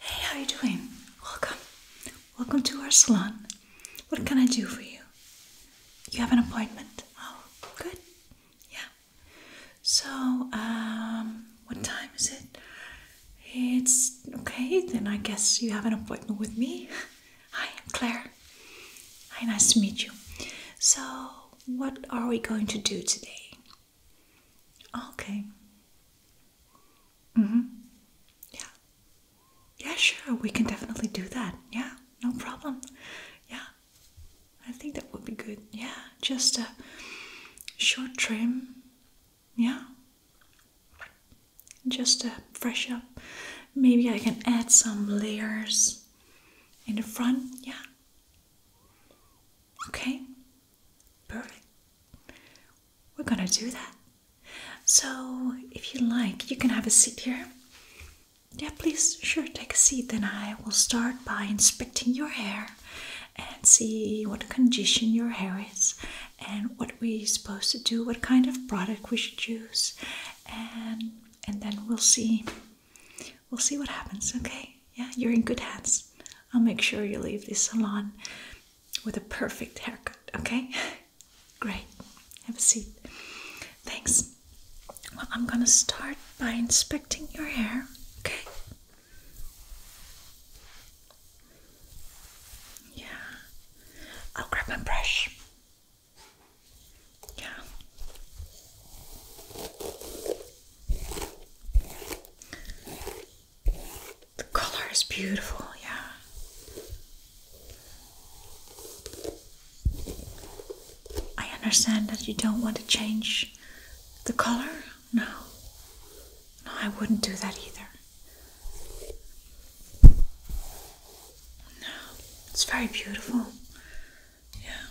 Hey, how are you doing? Welcome. Welcome to our salon. What can I do for you? You have an appointment. Oh, good. Yeah. So, um, what time is it? It's okay, then I guess you have an appointment with me. Hi, I'm Claire. Hi, nice to meet you. So, what are we going to do today? Okay. Mm hmm. Yeah. Yeah, sure. We can definitely do that. Yeah, no problem. Yeah. I think that would be good. Yeah, just a short trim yeah. Just to fresh up. Maybe I can add some layers in the front. Yeah. Okay. Perfect. We're gonna do that. So, if you like, you can have a seat here. Yeah, please, sure, take a seat. Then I will start by inspecting your hair and see what condition your hair is and what we're supposed to do, what kind of product we should use, and and then we'll see we'll see what happens, okay? Yeah, you're in good hands. I'll make sure you leave this salon with a perfect haircut, okay? Great. Have a seat. Thanks. Well, I'm gonna start by inspecting your hair, okay? Yeah. I'll grab my brush. Yeah. The color is beautiful, yeah. I understand that you don't want to change the color. No. No, I wouldn't do that either. No, it's very beautiful. Yeah.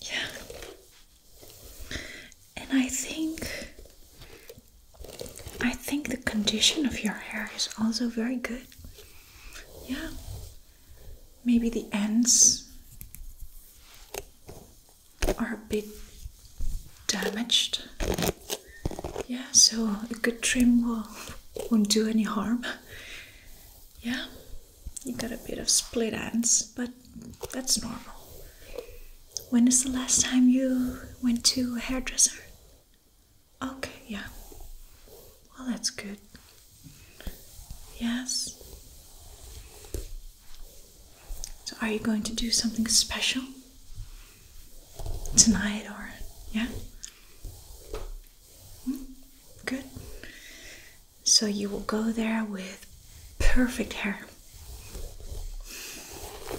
Yeah. And I think I think the condition of your hair is also very good. Yeah. Maybe the ends are a bit damaged. Yeah, so a good trim will, won't do any harm. Yeah, you got a bit of split ends, but that's normal. When is the last time you went to a hairdresser? Okay, yeah. Well, that's good. Yes. So, are you going to do something special tonight or yeah? Hmm? Good. So, you will go there with perfect hair.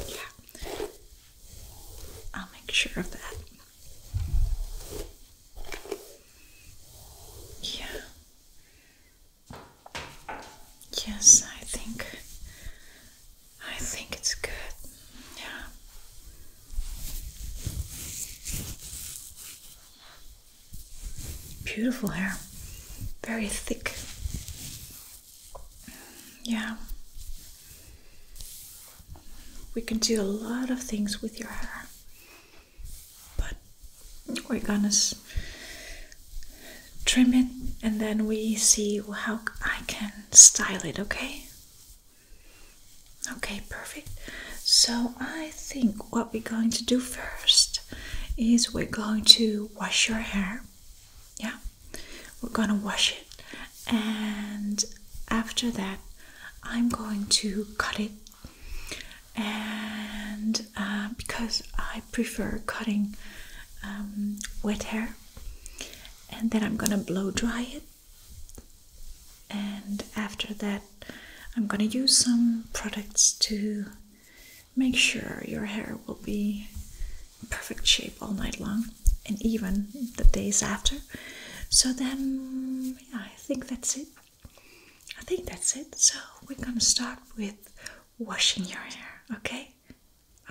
Yeah. I'll make sure of that. Yeah. Yes, I think I think it's good. Yeah. Beautiful hair. Very thick. Yeah. We can do a lot of things with your hair. But we're gonna trim it and then we see how I can style it, okay? Okay, perfect. So I think what we're going to do first is we're going to wash your hair. Yeah, we're gonna wash it, and after that, I'm going to cut it and uh, because I prefer cutting um, wet hair, and then I'm gonna blow dry it, and after that, I'm gonna use some products to make sure your hair will be perfect shape all night long and even the days after. So then, yeah, I think that's it. I think that's it. So we're gonna start with washing your hair, okay?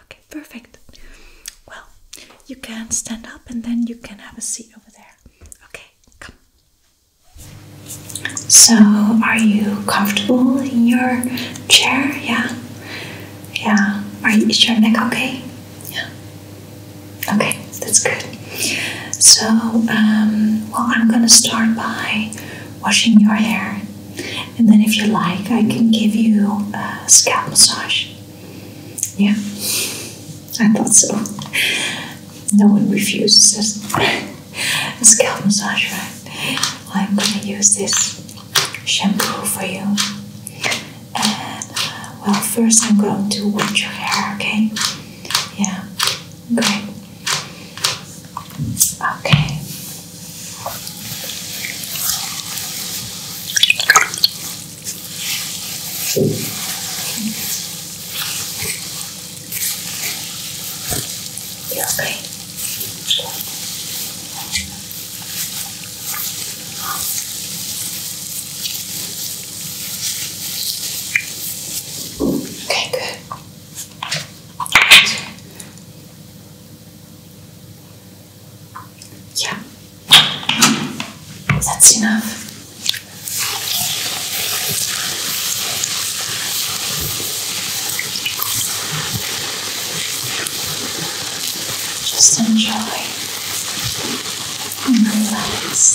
okay? perfect. Well, you can stand up and then you can have a seat over there. Okay, come. So, are you comfortable in your chair? Yeah. Yeah. Are you, is your neck okay? Yeah. Okay, that's good. So, um, well, I'm gonna start by washing your hair. And then, if you like, I can give you a scalp massage. Yeah, I thought so. No one refuses a scalp massage, right? I'm gonna use this shampoo for you. And uh, well, first I'm going to wash your hair, okay? Yeah, great. Okay. okay? Okay, good. Yeah, that's enough. Just enjoy and relax.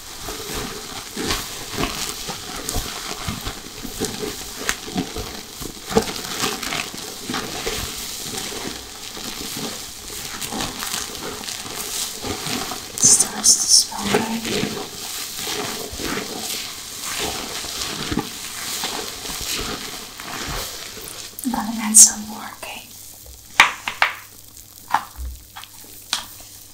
starts to smell good. I'm gonna add some more, okay?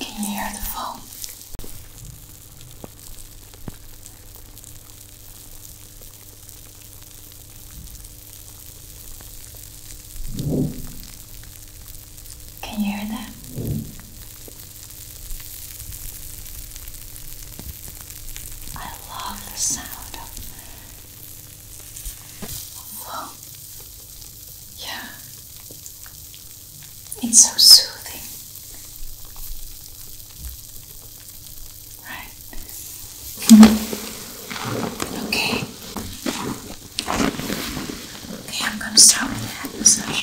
Can you hear the phone? Can you hear that? I love the sound of well, yeah, it's so soothing, right? Okay, I'm gonna start with the massage.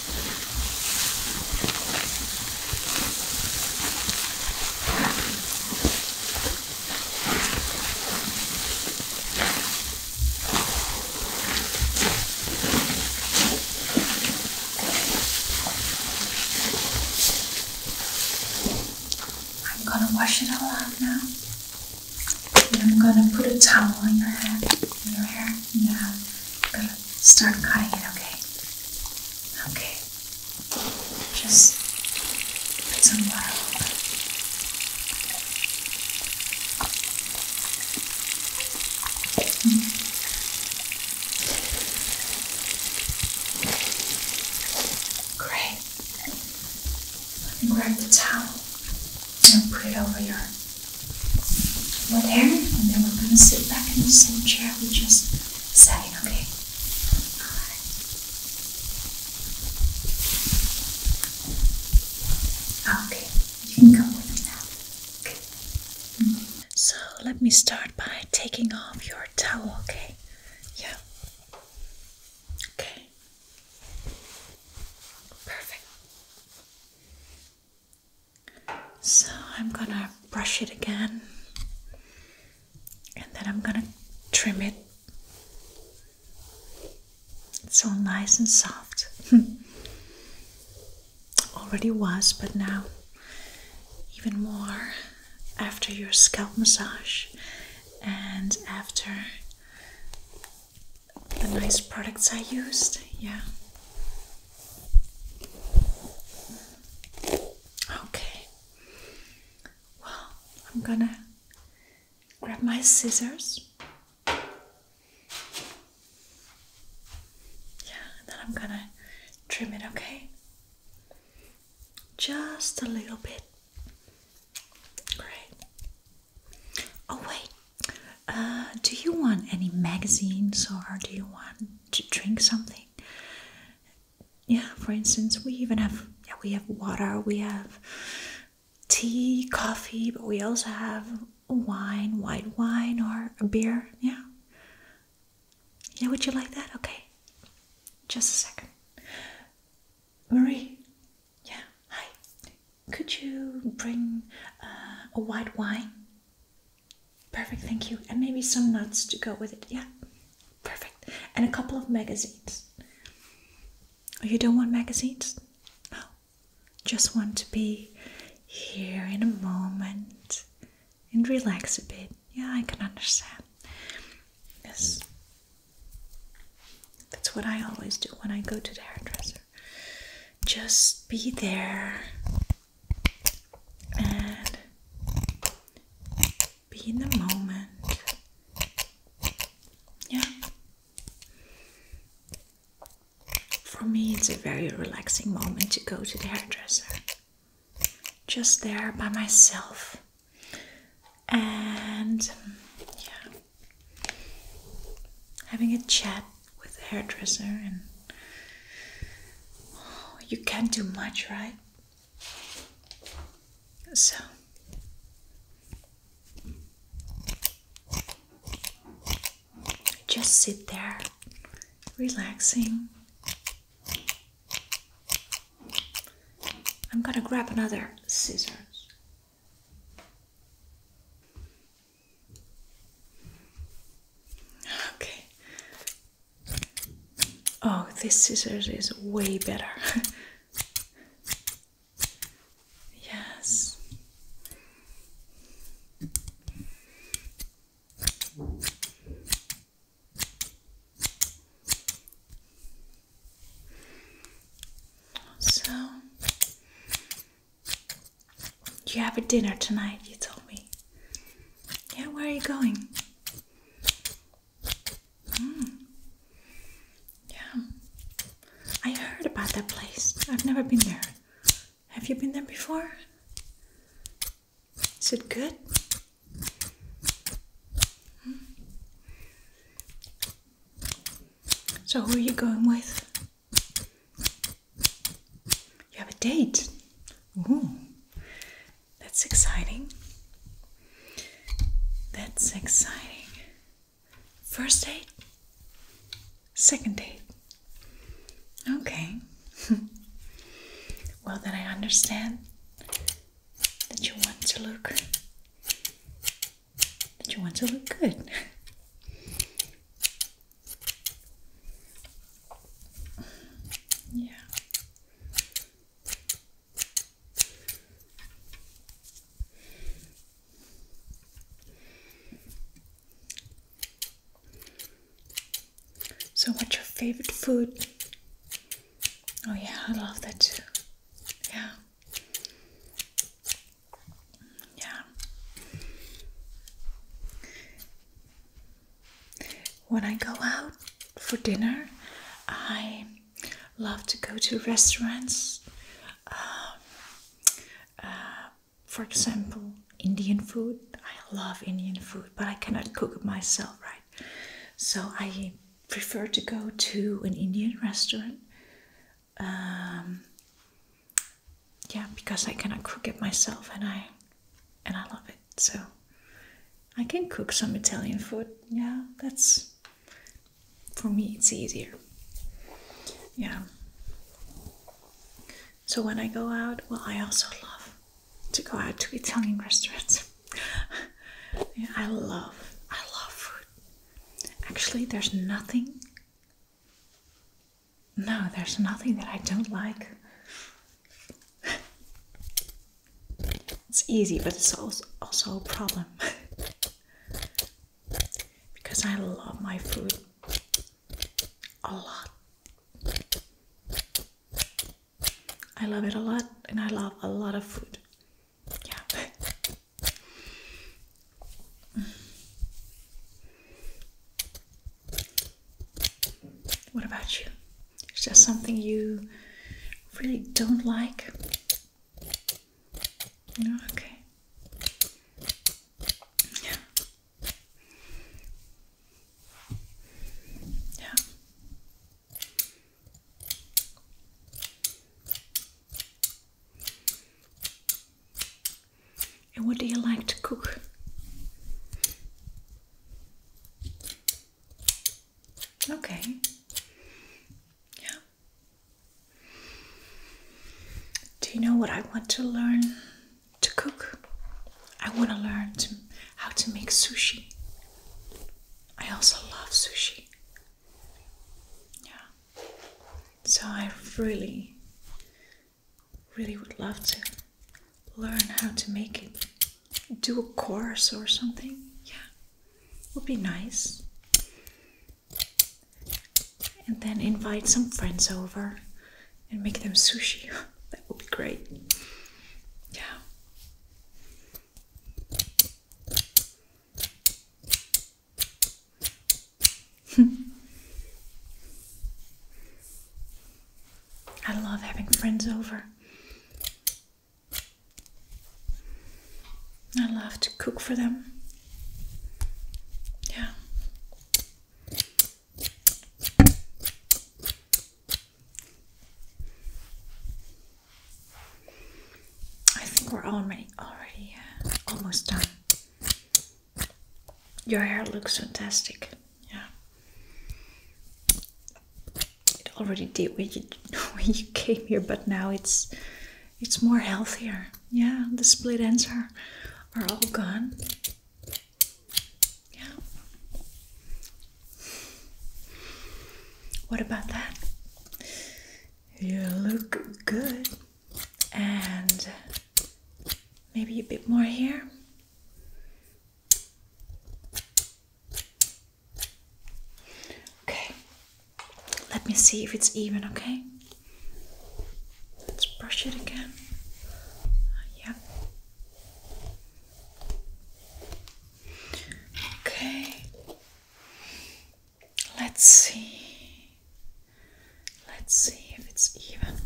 I'm gonna wash it all off now. And I'm gonna put a towel on your head, your hair. Yeah, start cutting it, okay? Okay. Just put some water over. Mm -hmm. Great. Let me grab the towel and put it over your over there, and then we're gonna sit back in the same chair we just setting, okay? Alright. Okay, you can come with me now. Okay. So let me start by taking off your towel, okay? Yeah. Okay. Perfect. So I'm gonna brush it again and then I'm gonna trim it. It's all nice and soft. Already was, but now even more after your scalp massage and after the nice products I used. Yeah. Okay. Well, I'm gonna grab my scissors. Yeah, then I'm gonna trim it, okay? Just a little bit. Great. Oh, wait. Uh, do you want any magazines or do you want to drink something? Yeah, for instance, we even have yeah, we have water, we have tea, coffee, but we also have wine, white wine or a beer. Yeah. Yeah, would you like that? Okay. Just a second. Marie. Yeah, hi. Could you bring uh, a white wine? Perfect, thank you. And maybe some nuts to go with it. Yeah, perfect. And a couple of magazines. Oh, you don't want magazines? No. Oh, just want to be here in a moment and relax a bit. Yeah, I can understand. Yes. That's what I always do when I go to the hairdresser. Just be there and be in the moment. Yeah. For me, it's a very relaxing moment to go to the hairdresser. Just there by myself. And yeah, having a chat with the hairdresser and you can't do much, right? So just sit there, relaxing. I'm gonna grab another scissors. Okay, Oh, this scissors is way better. yes. So, you have a dinner tonight, you told me. Yeah, where are you going? Hmm. Yeah, I heard about that place. I've never been there. Have you been there before? Is it good? Hmm. So, who are you going with? You have a date. Ooh, that's exciting. That's exciting. First date? Second date. Okay. well, then I understand that you want to look that you want to look good. Yeah. So, what's your favorite food? Oh, yeah, I love that too. Yeah. Yeah. When I go out for dinner, I love to go to restaurants. Um, uh, for example, Indian food. I love Indian food, but I cannot cook it myself, right? So I prefer to go to an Indian restaurant. Um, yeah, because I cannot cook it myself and I and I love it. So I can cook some Italian food. Yeah, that's for me, it's easier. Yeah. So when I go out, well, I also love to go out to Italian restaurants. I love, I love food. Actually, there's nothing. No, there's nothing that I don't like it's easy, but it's also a problem because I love my food a lot. I love it a lot, and I love a lot of food. Yeah. What about you? Is there something you really don't like? okay. Yeah. Yeah. And what do you like to cook? Okay. Yeah. Do you know what I want to learn to cook? I want to learn how to make sushi. I also love sushi. Yeah. So I really, really would love to learn how to make it, do a course or something. Yeah, would be nice. And then invite some friends over and make them sushi. that would be great. Yeah. I love having friends over. I love to cook for them. Yeah. I think we're uh, almost done. Your hair looks fantastic yeah it already did when you when you came here but now it's it's more healthier yeah the split ends are are all gone yeah what about that you look good and maybe a bit more here Okay, let me see if it's even, okay? Let's brush it again. Yeah. Okay. Let's see. Let's see if it's even.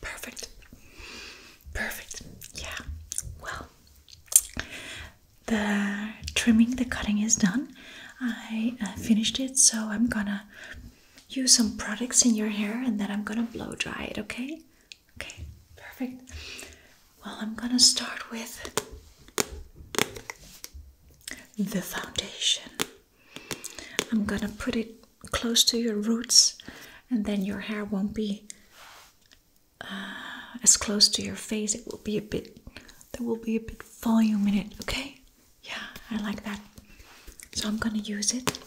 Perfect. Perfect. Yeah. Well, the trimming, the cutting is done. I uh, finished it, so I'm gonna use some products in your hair and then I'm gonna blow dry it, okay? Okay, perfect. Well, I'm gonna start with the foundation. I'm gonna put it close to your roots and then your hair won't be uh, as close to your face. It will be a bit, there will be a bit volume in it, okay? Yeah, I like that. So I'm gonna use it.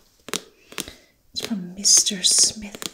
It's from Mr. Smith.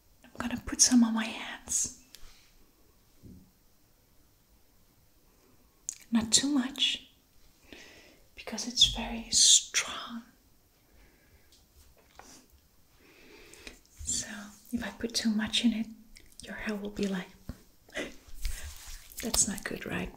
I'm gonna put some on my hands. Not too much because it's very strong. So, if I put too much in it, your hair will be like, that's not good, right?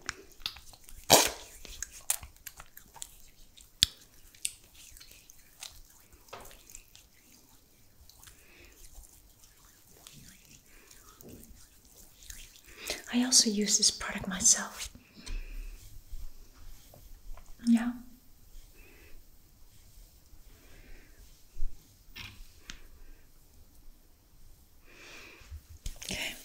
I also use this product myself. Yeah. Okay.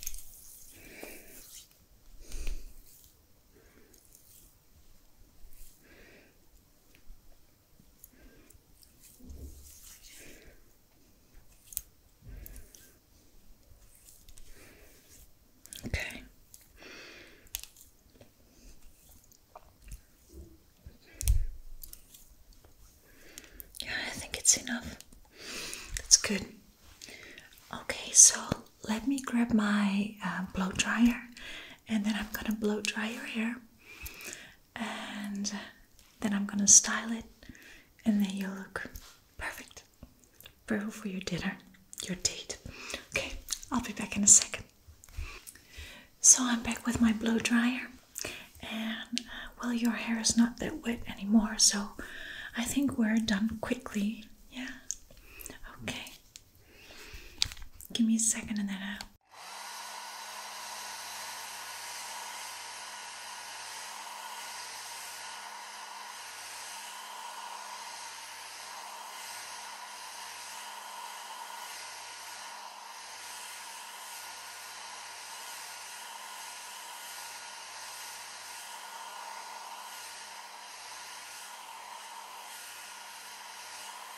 Okay. Yeah, I think it's enough. That's good. Okay, so let me grab my uh, blow dryer and then I'm gonna blow dry your hair and then I'm gonna style it and then you'll look perfect. Perfect for your dinner, your date. Okay, I'll be back in a second. So I'm back with my blow dryer and uh, well your hair is not that wet anymore so I think we're done quickly. Yeah. Okay. Give me a second and then I'll.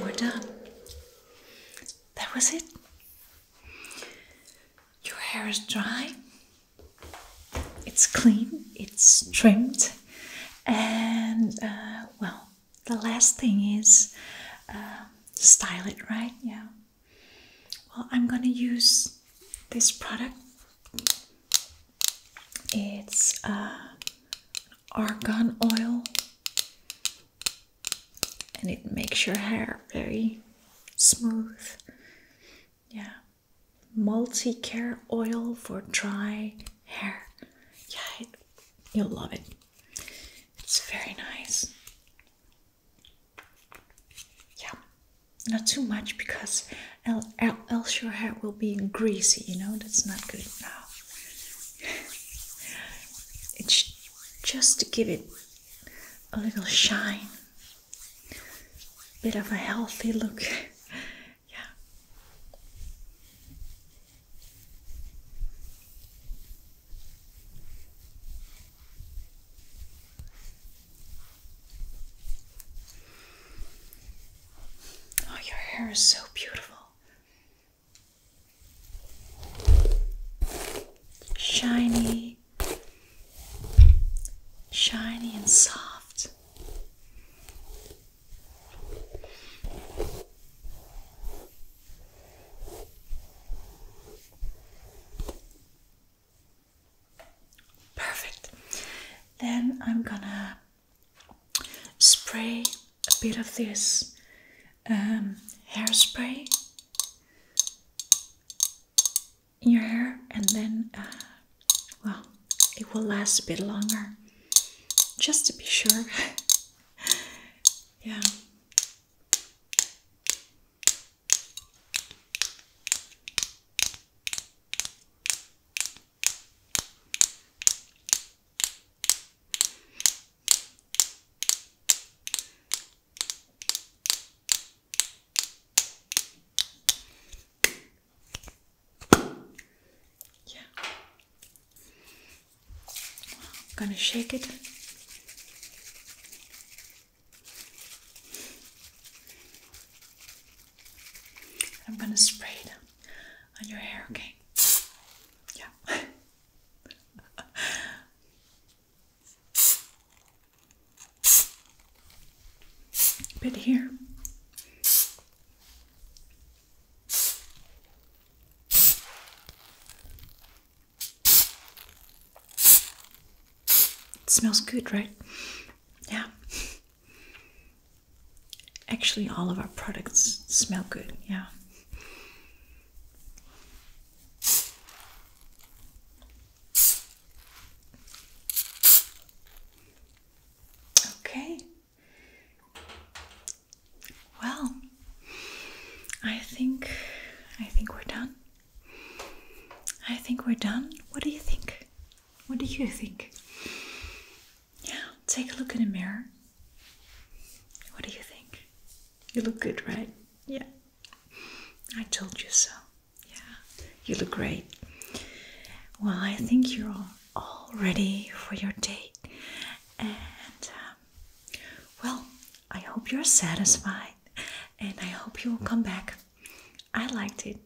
We're done. That was it. Your hair is dry, it's clean, it's trimmed, and uh, well, the last thing is uh, style it right. Yeah. Well, I'm gonna use this product. It's uh, argan oil and it makes your hair very smooth. Yeah, multi care oil for dry hair. Yeah, you'll love it. It's very nice. Yeah, not too much because else your hair will be greasy, you know, that's not good it's just to give it a little shine, bit of a healthy look. yeah. Oh, your hair is so beautiful. Shiny, shiny and soft. Perfect. Then I'm gonna spray a bit of this um, hairspray in your hair, and then, uh, well, it will last a bit longer just to be sure. yeah. Yeah. I'm gonna shake it. I'm gonna spray it on your hair, okay? yeah. A here. It smells good, right? Yeah. Actually, all of our products smell good, yeah. Okay. Well, I think I think we're done. I think we're done. What do you think? What do you think? Take a look in the mirror. What do you think? You look good, right? Yeah. I told you so. Yeah. You look great. Well, I think you're all ready for your date. And um, well, I hope you're satisfied and I hope you will come back. I liked it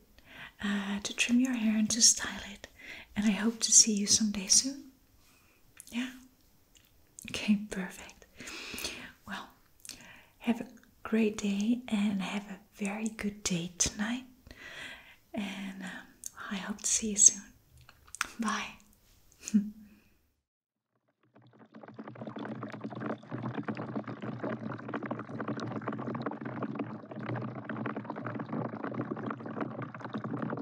uh, to trim your hair and to style it. And I hope to see you some day soon. Yeah? Okay, perfect. Well, have a great day and have a very good day tonight. And um, I hope to see you soon. Bye.